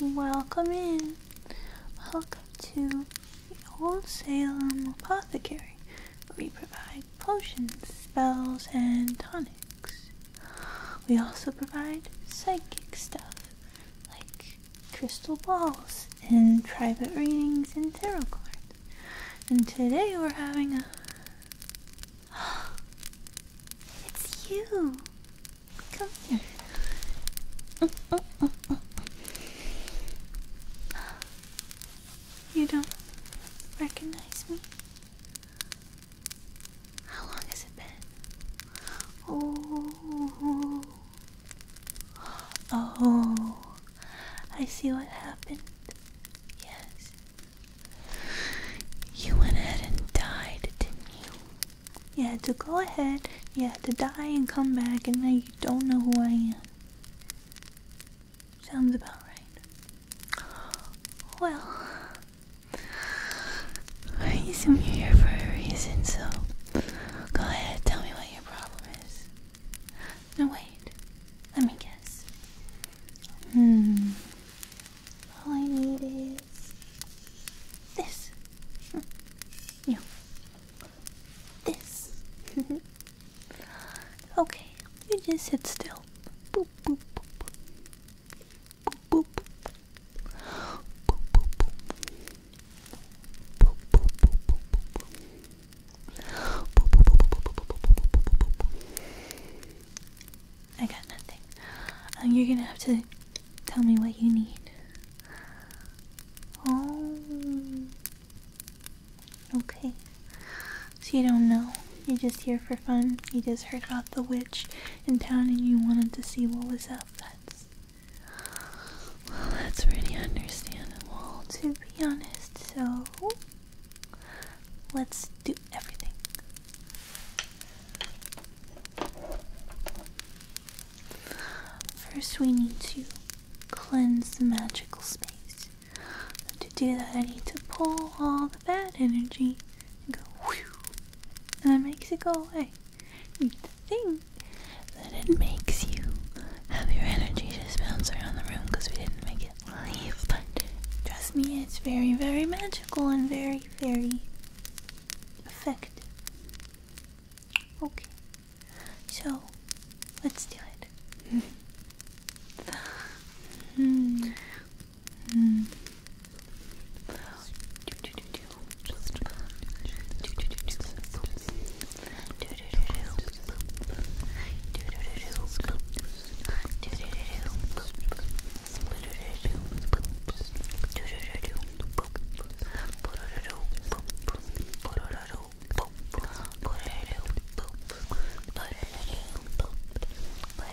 Welcome in. Welcome to the Old Salem Apothecary, we provide potions, spells, and tonics. We also provide psychic stuff like crystal balls and private readings and tarot cards. And today we're having a. it's you! Come here. You don't recognize me? How long has it been? Oh, oh, I see what happened. Yes, you went ahead and died, didn't You had to go ahead, you had to die and come back, and now you don't know who I am. Sounds about right. Well, I assume you're here for a reason, so go ahead, tell me what your problem is. No, wait. Let me guess. Hmm. All I need is this. You. This. okay, you just sit still. I got nothing. Um, you're gonna have to tell me what you need. Oh okay? So you don't know. You're just here for fun. You just heard about the witch in town and you wanted to see what was up. That's. Well, that's pretty understandable, to be honest. So. Let's do everything. First, we need to cleanse the magical space to do that, I need to pull all the bad energy and go whew, and that makes it go away. The thing that it makes you have your energy just bounce around the room because we didn't make it leave, but trust me, it's very, very magical and very, very effective. Okay, so let's do it. Hmm. Mm. But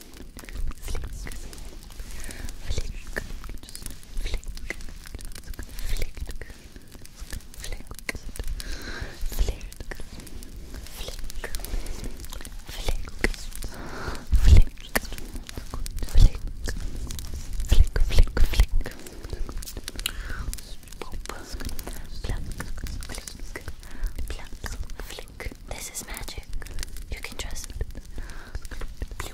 flick, flick, just flick, flick, flick, flick, flick, flick, flick, flick, flick, flick, flick. This is magic. You can trust. Flick,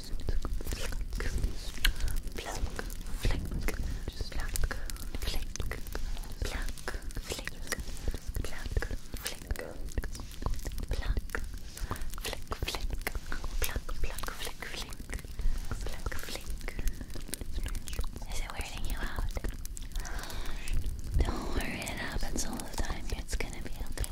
Is it wearing you out? Don't worry, it happens all the time. It's gonna be okay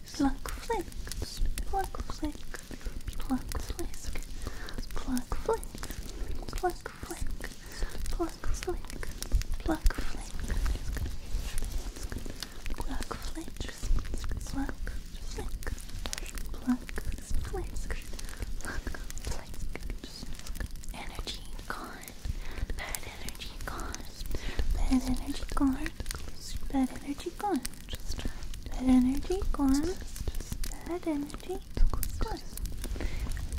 Pluck flicks, pluck flick, pluck flick, pluck flick, pluck flick, pluck flick, pluck flick, pluck flick, pluck flick, pluck flick, pluck flick. Energy gone. Bad energy gone. Bad energy gone. Bad energy gone. Bad energy gone. Bad energy gone.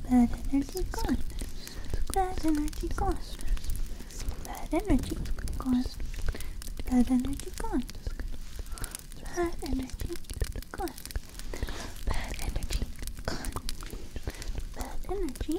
Bad energy gone. Bad energy gone. Bad energy gone. Bad energy gone. Bad energy gone. Bad energy gone. Bad energy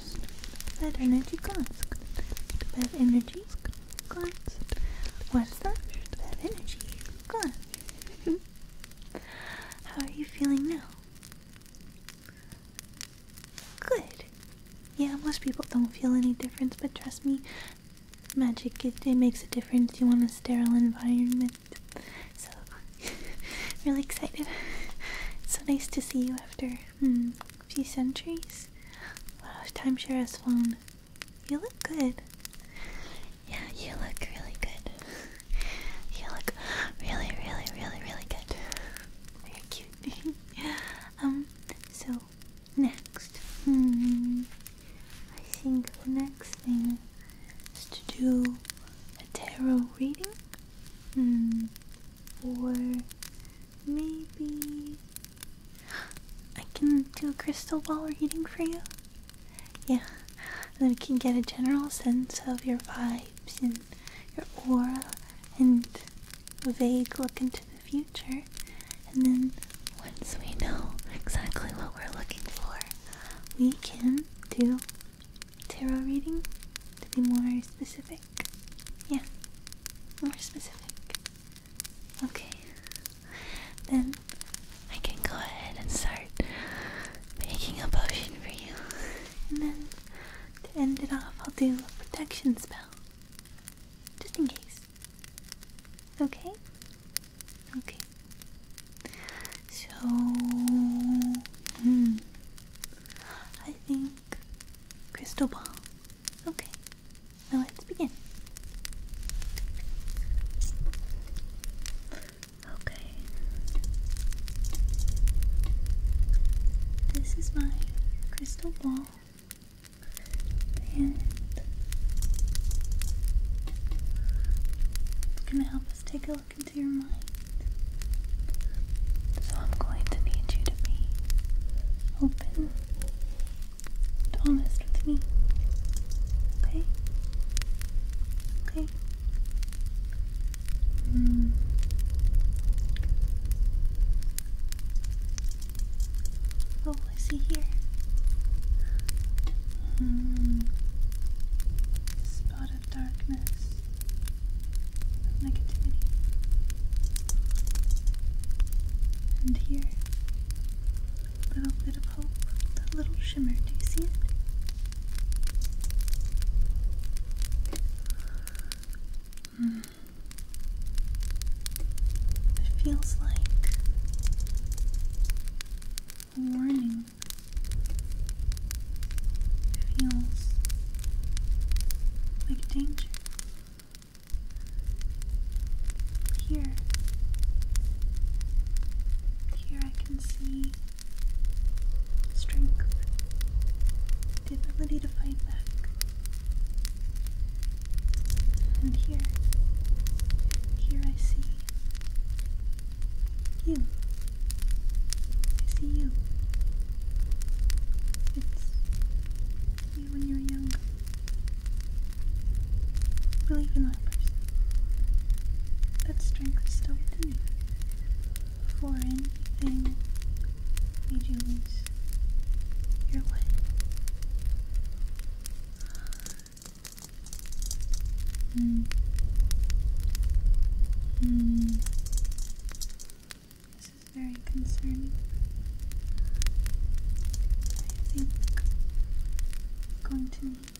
that energy cost. To that energy cost. What's that? that energy cost. How are you feeling now? Good. Yeah, most people don't feel any difference, but trust me, magic, it, it makes a difference. You want a sterile environment. So, really excited. so nice to see you after. Hmm. A few centuries. Wow, time sure has flown. You look good. Yeah, you look really good. you look really, really, really, really good. Very cute. um, so next, hmm, I think the next thing is to do a tarot reading, hmm, or Maybe I can do a crystal ball reading for you. Yeah, then we can get a general sense of your vibes and your aura and a vague look into the future. And then once we know exactly what we're looking for, we can do tarot reading to be more specific. Yeah, more specific. Okay, then I can go ahead and start making a potion for you. And then to end it off, I'll do a protection spell. Just in case. Okay? Okay. So, hmm. I think crystal ball. Okay, now let's begin. Okay. This is my crystal ball. And it's gonna help us take a look into your mind. So I'm going to need you to be open honest with me. Okay? Okay? Mm. Oh, I see here. Mm. Spot of darkness negativity. And here, a little bit of hope, that little shimmer. Do you see it? Hmm. It feels like a warning. feels like danger. Here. Here I can see strength, the ability to fight back. And here, here I see you. I see you. It's when you were young. Believe in that person. That strength is still within you. For anything made you lose your way. Hmm. Hmm. This is very concerning. I think I'm going to need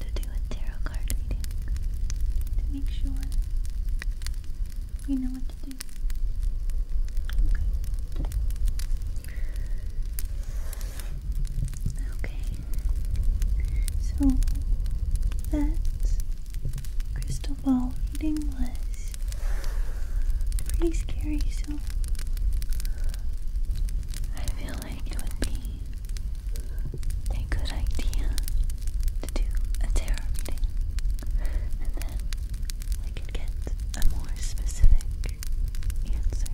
to do a tarot card reading to make sure we know what to do. Okay. So that crystal about eating less. It's pretty scary, so I feel like it would be a good idea to do a tarot and then we could get a more specific answer.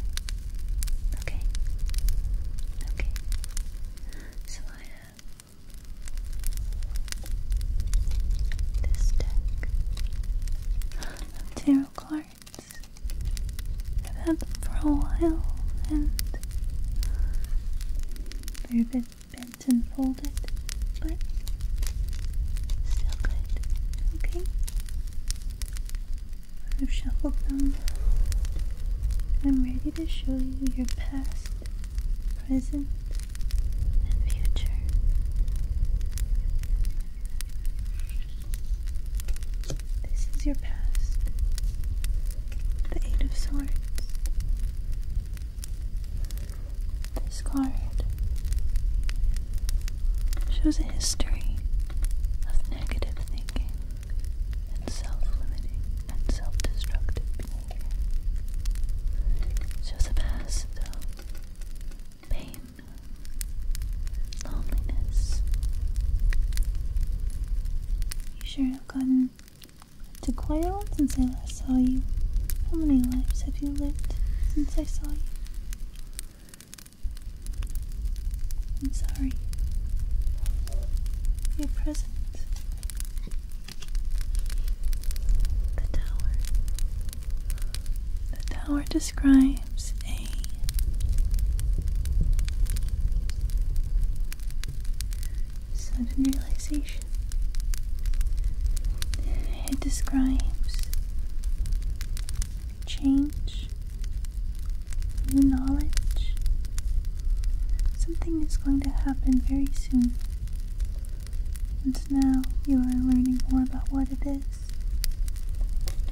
Okay. Okay. So I this deck of tarot cards. I've had them for a while and they're a bit bent and folded, but still good. Okay. I've shuffled them. I'm ready to show you your past present, and future. This is your past, the Eight of Swords. This card shows a history of negative thinking and self limiting and self destructive behavior. shows a past, though, pain, loneliness. You sure have gotten to quite a lot since I last saw you. How many lives have you lived since I saw you? I'm sorry. Your present the tower. The tower describes a sudden realization. It describes change, new knowledge. Something is going to happen very soon. And now you are learning more about what it is,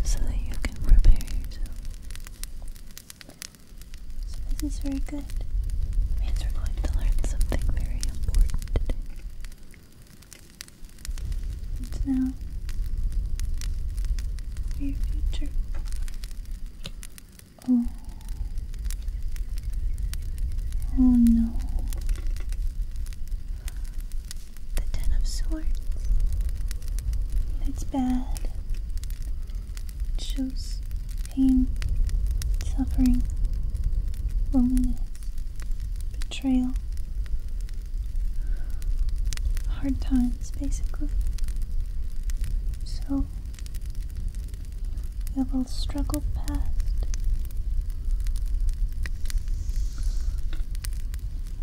so that you can prepare yourself. this is very good. means we're going to learn something very important today. And now, for your future. Oh. Oh no. The Ten of Swords. It's bad. It shows pain, suffering, loneliness, betrayal, hard times, basically. So, we will struggle past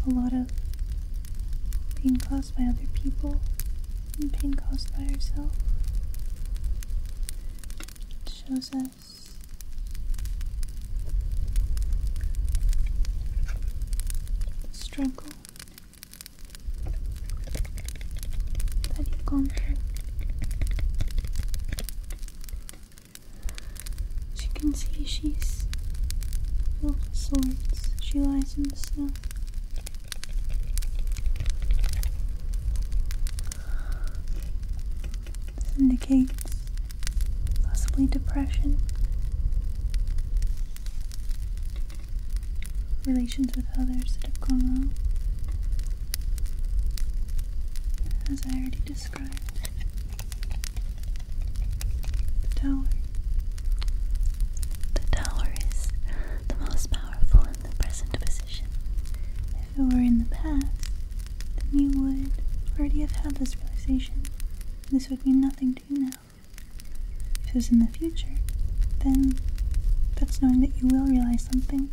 a lot of pain caused by other people and pain caused by herself. shows us the struggle that you've gone through. As you can see, she's filled with swords. She lies in the snow. This indicates possibly depression. Relations with others that have gone wrong. As I already described. The tower. The tower is the most powerful in the present position. If it were in the past, then you would already have had this realization. This would mean nothing to you now. If it was in the future, then that's knowing that you will realize something.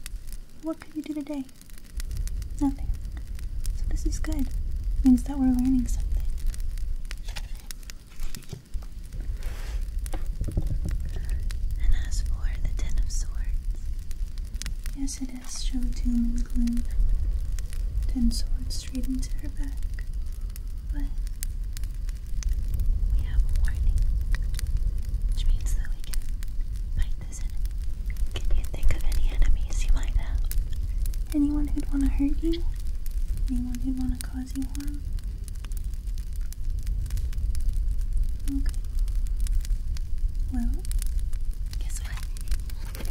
What could you do today? Nothing. So this is good. means that we're learning something. And as for the Ten of Swords, yes, it is show doom and gloom. Ten swords straight into her back. But we have a warning, which means that we can fight this Can you think of any enemies you might have? Anyone who'd want to hurt you? Anyone who'd want to cause you harm? Okay. Well, guess what?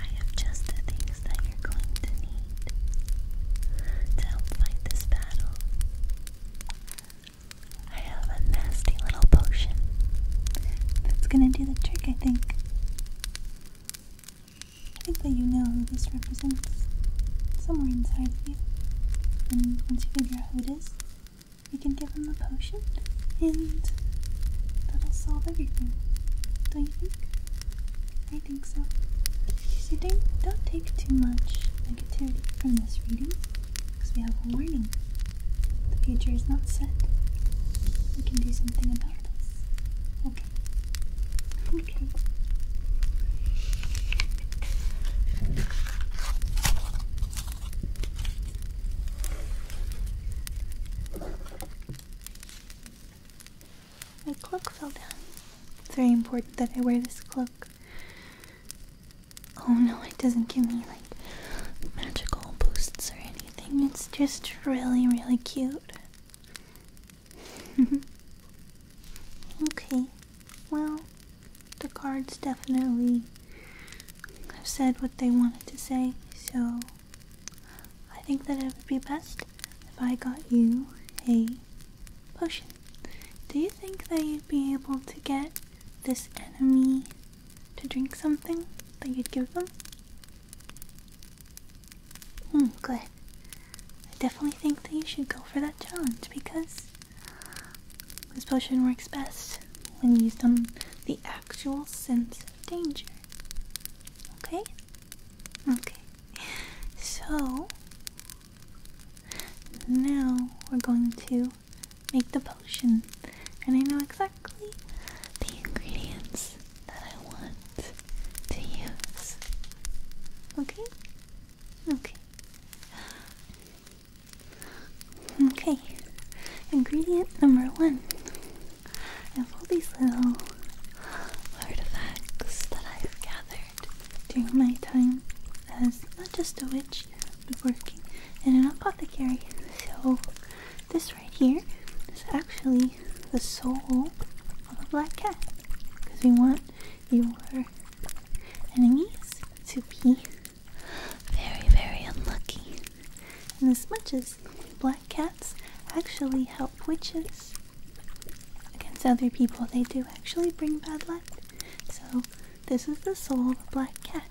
I have just the things that you're going to need to help fight this battle. I have a nasty little potion that's gonna do the trick, I think. I think that you know who this represents somewhere inside of you. And once you figure out who it is, you can give him the potion, and that'll solve everything. Don't you think? I think so. So don't, don't take too much negativity from this reading, because we have a warning the future is not set. We can do something about this. Okay. Okay. My cloak fell down. It's very important that I wear this cloak. Oh no, it doesn't give me magical boosts or anything. It's just really, really cute. okay, well, the cards definitely have said what they wanted to say, so I think that it would be best if I got you a potion. Do you think that you'd be able to get this enemy to drink something that you'd give them? Hmm, I definitely think that you should go for that challenge because this potion works best when used on the actual sense of danger. Okay? Okay. So, now we're going to make the potion, and I know exactly the ingredients that I want to use. Okay? Okay. Okay, ingredient number one I have all these little artifacts that I've gathered during my time as not just a witch, but working in an apothecary. So this right here is actually the soul of a black cat. Because we want your enemies to be very, very unlucky. And as much as black cats actually help witches against other people, they do actually bring bad luck. So, this is the soul of a black cat.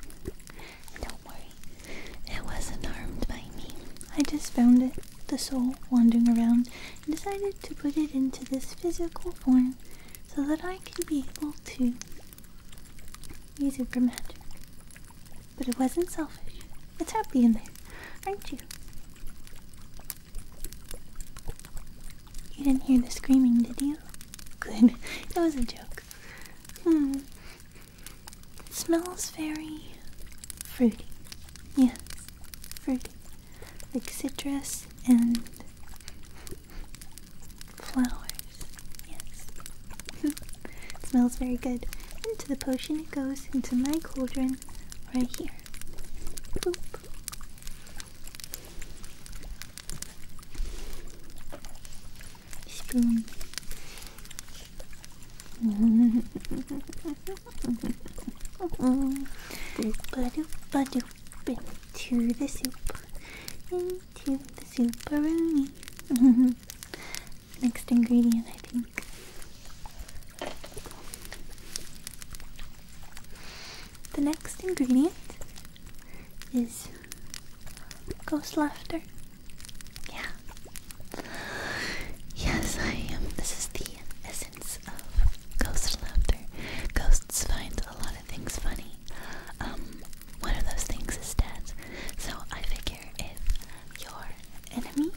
It wasn't harmed by me. I just found it, the soul, wandering around, and decided to put it into this physical form so that I could be able to use it for magic. But it wasn't selfish. It's happy in there, aren't you? You didn't hear the screaming, did you? Good. It was a joke. Hmm. It smells very fruity. Yes, fruity. Like citrus and flowers. Yes. it smells very good. Into the potion it goes, into my cauldron, right here. Boop. Spoon into the soup, into the souparoni. Next ingredient, I think. The next ingredient is Ghost laughter. Yeah. Yes, I am. This is the essence of ghost laughter. Ghosts find a lot of things funny. Um, one of those things is death. So I figure if your enemy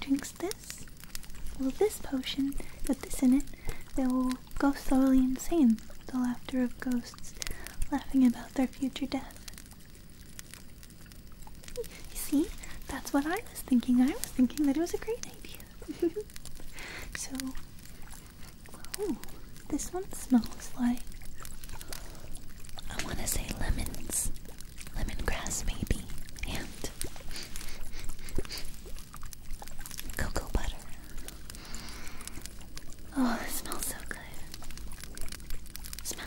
drinks this, well, this potion with this in it, they will go slowly insane. with The laughter of ghosts laughing about their future death. You see, that's what I was thinking. I was thinking that it was a great idea. so, oh, this one smells like I want to say lemons, lemongrass maybe, and cocoa butter. Oh, it smells so good. Smell.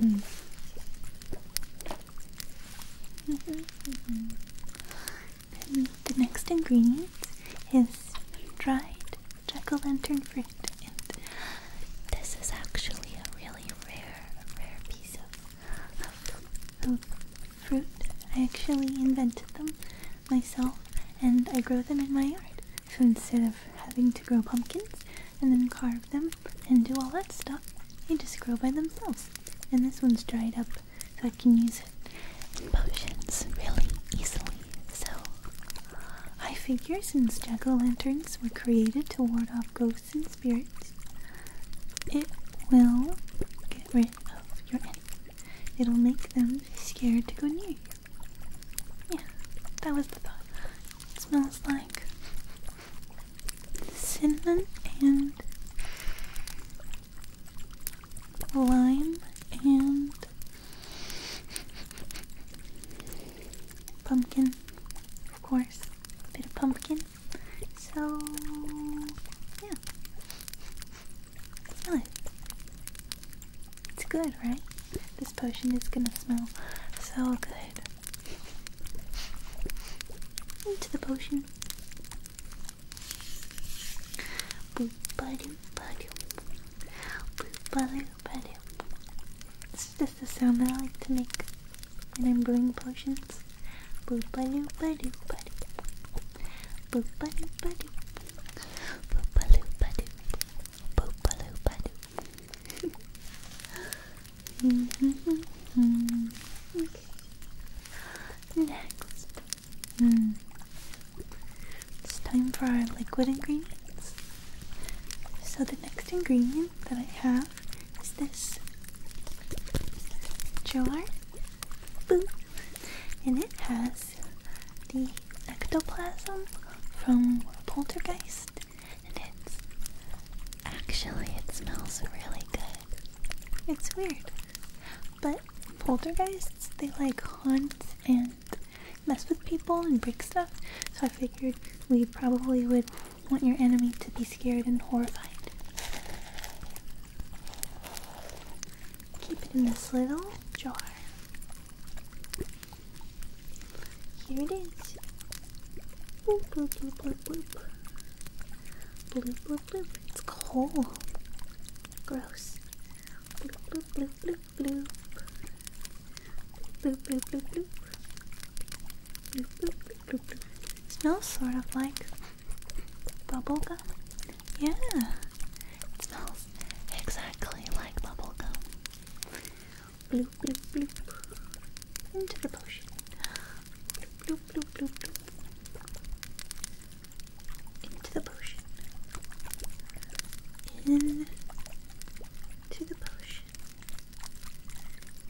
Mm-hmm. the next ingredient is dried jack-o'-lantern fruit, and this is actually a really rare, rare piece of, fruit. I actually invented them myself, and I grow them in my yard. So instead having to grow pumpkins and then carve them and do all that stuff. They just grow by themselves. And this one's dried up, so I can use it in potions really easily. So, I figure since jack-o'-lanterns were created to ward off ghosts and spirits, it will get rid of your enemy. It'll make them scared to go near you. Yeah, that was the thought. It smells like cinnamon and lime and pumpkin. Of course, a bit of pumpkin. So, yeah. Smell it. It's good, right? This potion is gonna smell so good. Into the potion. Boo badoo badoo. Boo badoo badoo. This is just the sound that I like to make when I'm brewing potions. Boo badoo badoo badoo. Boo badoo badoo. Boopaloo badoo. Boopaloo badoo. Next, mm. it's time for our liquid ingredients. So, the next ingredient that I have is this jar. And it has the ectoplasm from Poltergeist and it's actually it smells really good. It's weird, but poltergeists they like haunt and mess with people and break stuff. So I figured we probably would want your enemy to be scared and horrified. Keep it in this little jar. Here it is. It's coal. Gross. It smells sort of like bubblegum. Yeah. It smells exactly like bubblegum bloop, bloop, bloop, into the potion. Bloop, bloop, bloop, bloop, bloop. Into the potion. In to the potion.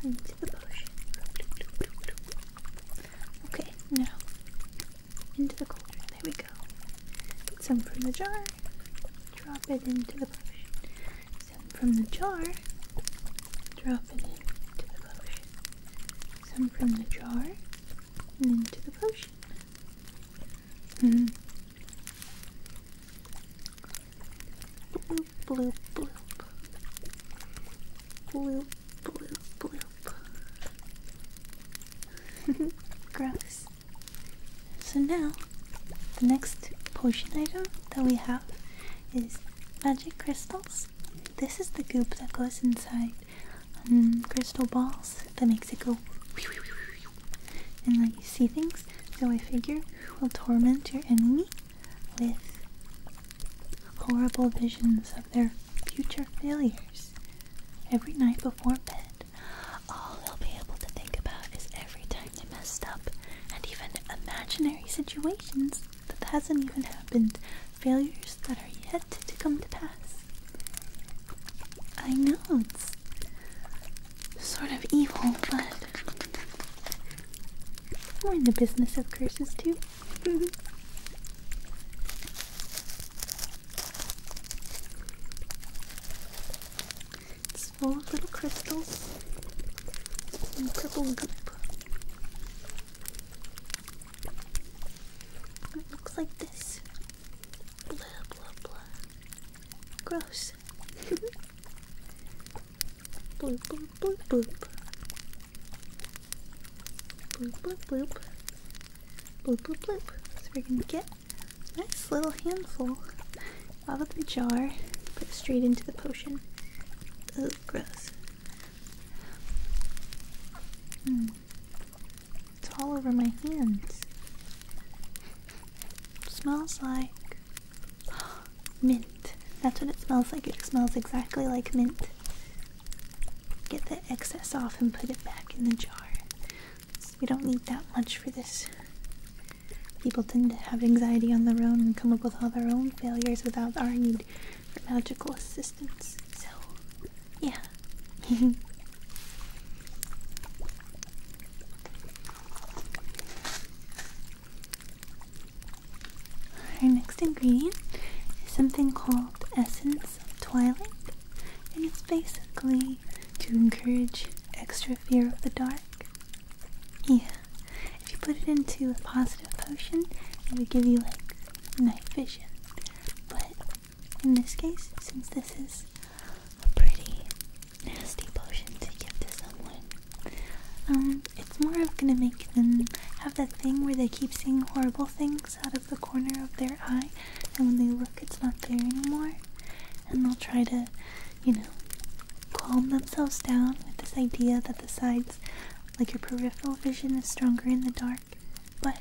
Into the potion. Bloop, bloop, bloop, bloop. Okay, now into the cauldron. There we go. Get some from the jar. Drop it into the potion. Some from the jar, drop it into the potion. Some from the jar into the potion. Hmm. Bloop, bloop, bloop. Bloop, bloop, bloop. Gross. So now, the next potion item that we have is magic crystals. This is the goop that goes inside um, crystal balls that makes it go and let you see things. So I figure will torment your enemy with horrible visions of their future failures every night before bed. All they'll be able to think about is every time they messed up, and even imaginary situations that hasn't even happened, failures that are yet to come to pass. I know it's sort of evil, but we're in the business of curses too. small little crystals. Some purple goop. It looks like this. Blah blah blah. Gross. bloop bloop bloop bloop. Bloop bloop bloop. Bloop bloop bloop. So we're gonna get a nice little handful out of the jar, put straight into the potion. Oh, gross. Hmm. It's all over my hands. smells like mint. That's what it smells like. It smells exactly like mint. Get the excess off and put it back in the jar. we don't need that much for this People tend to have anxiety on their own and come up with all their own failures without our need for magical assistance. So, yeah. Our next ingredient is something called Essence of Twilight, and it's basically to encourage extra fear of the dark yeah. If you put it into a positive potion, it would give you like night vision. But in this case, since this is a pretty nasty potion to give to someone, um, it's more of gonna make them have that thing where they keep seeing horrible things out of the corner of their eye, and when they look, it's not there anymore, and they'll try to you know, calm themselves down with this idea that the sides, like your peripheral vision, is stronger in the dark. But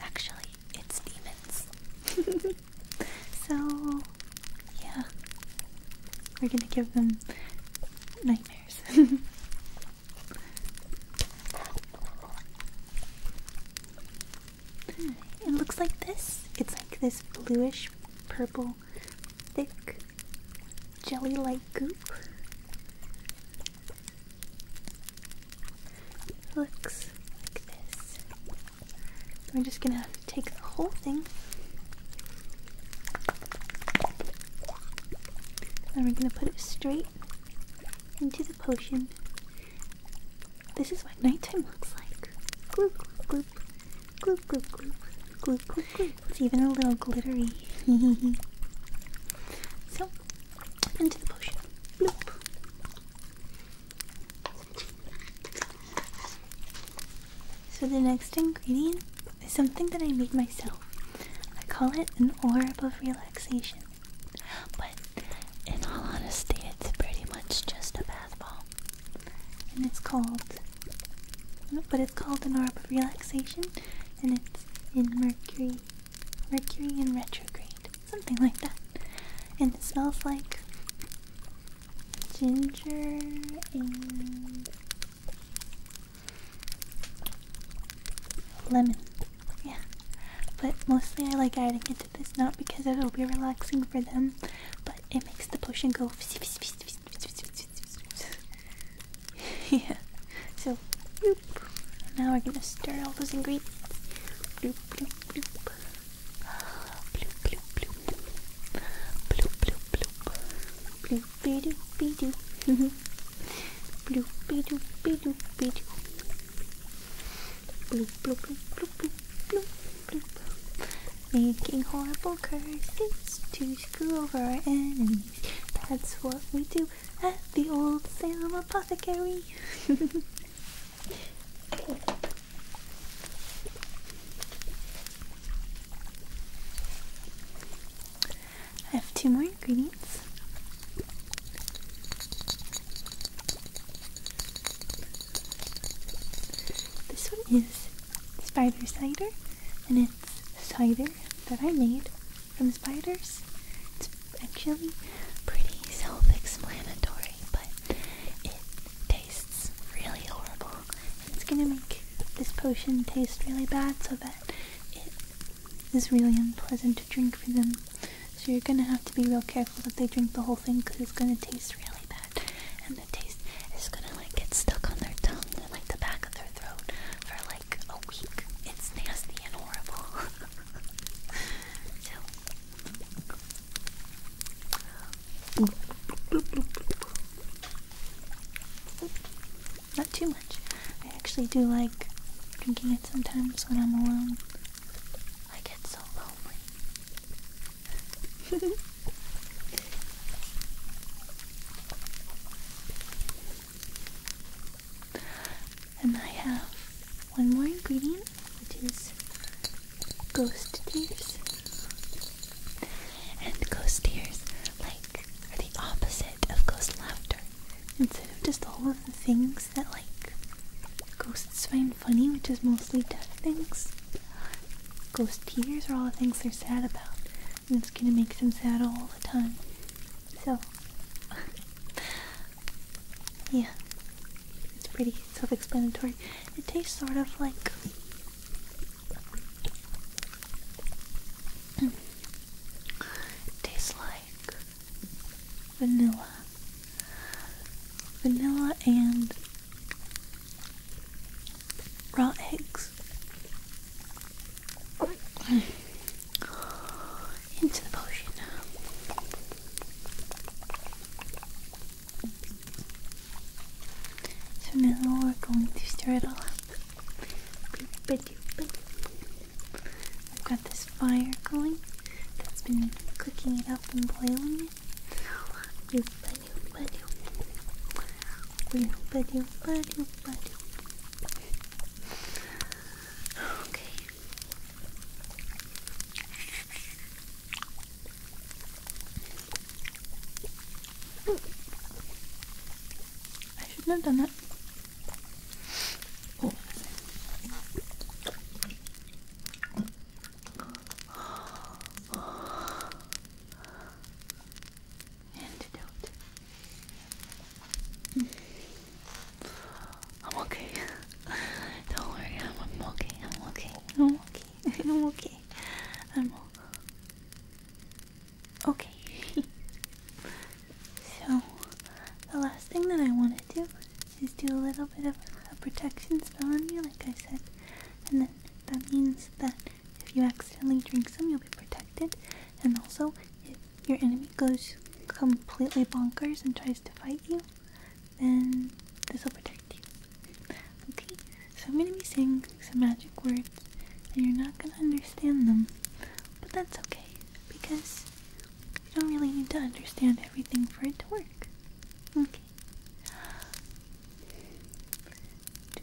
actually, it's demons. so, yeah. We're gonna give them nightmares. Hmm, it looks like this. It's like this bluish purple thick jelly like goop. looks like this. We're just gonna take the whole thing. And we're gonna put it straight into the potion. This is what nighttime looks like. Gloop, gloop. It's even a little glittery. so, into the potion. So the next ingredient is something that I made myself. I call it an orb of relaxation. But in all honesty, it's pretty much just a bath ball and it's called but it's called an orb of relaxation and it's in mercury mercury in retrograde something like that and it smells like ginger and lemon yeah but mostly i like adding it to this not because it'll be relaxing for them but it makes the potion go yeah. So, Now we're gonna stir all those ingredients. Making horrible curses to screw over our enemies. That's what we do at the old Salem Apothecary. I have two more ingredients. This one is spider cider and Spider that I made from spiders. It's actually pretty self-explanatory, but it tastes really horrible. It's gonna make this potion taste really bad so that it is really unpleasant to drink for them. So you're gonna have to be real careful that they drink the whole thing because it's gonna taste really bad it's gonna like get stuck on their tongue and like the back of their throat for like a week. It's nasty and horrible. so. Not too much. I actually do like drinking it sometimes when I'm alone. I get so lonely. And I have one more ingredient, which is ghost tears. And ghost tears, like, are the opposite of ghost laughter. Instead of just all of the things that, like, ghosts find funny, which is mostly death things, ghost tears are all the things they're sad about it's gonna make them sad all the time. So, yeah, it's pretty self-explanatory. It tastes sort of like mm. tastes like vanilla, vanilla and raw eggs into the potion. So now we're going to stir it all up. I've got this fire going that's been cooking it up and boiling it. Bueno, bueno, bueno, bueno. Okay. I shouldn't have done that. Oh antidote. Hmm. I'm okay. Don't worry, I'm, okay. I'm okay. I'm okay. I'm okay. I'm okay. okay. so, the last thing that I want to do is do a little bit of a protection spell on you, like I said, and then that means that if you accidentally drink some, you'll be protected. And also, if your enemy goes completely bonkers and tries to fight you, then this will protect you. Okay, so I'm gonna be saying some magic words, and you're not gonna understand them, but that's okay because you don't really need to understand everything for it to work. Okay. Two,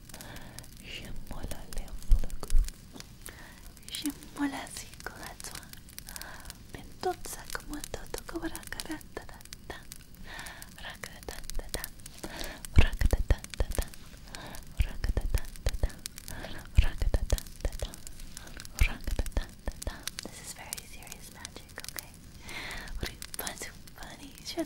This is very serious magic, okay? What do you find so funny? Je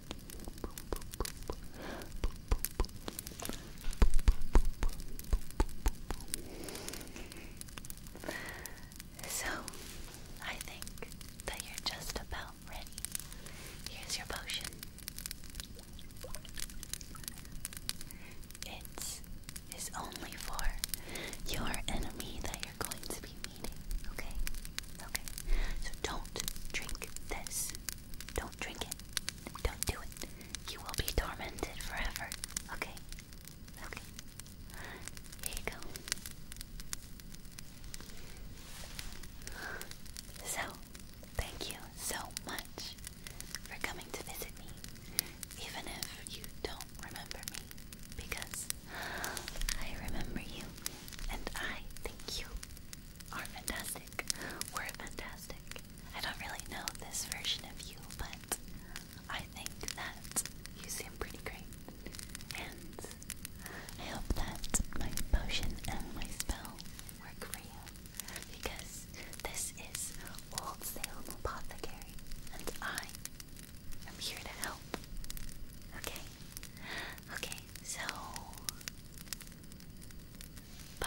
So, I think that you're just about ready. Here's your potion. It is only for your enemy that you're going to be okay? Okay. So don't drink this. Don't drink it. Don't do it. You will be tormented forever. Okay? Okay. Here you go. So, thank you so much for coming to visit me, even if you don't remember me, because I remember you, and I think you are fantastic. We're fantastic. I don't really know this version of you, but I think that you seem pretty great. And I hope that my potion and my spell work for you, because this is Old Salem Apothecary, and I am here to help. Okay? Okay, so bye.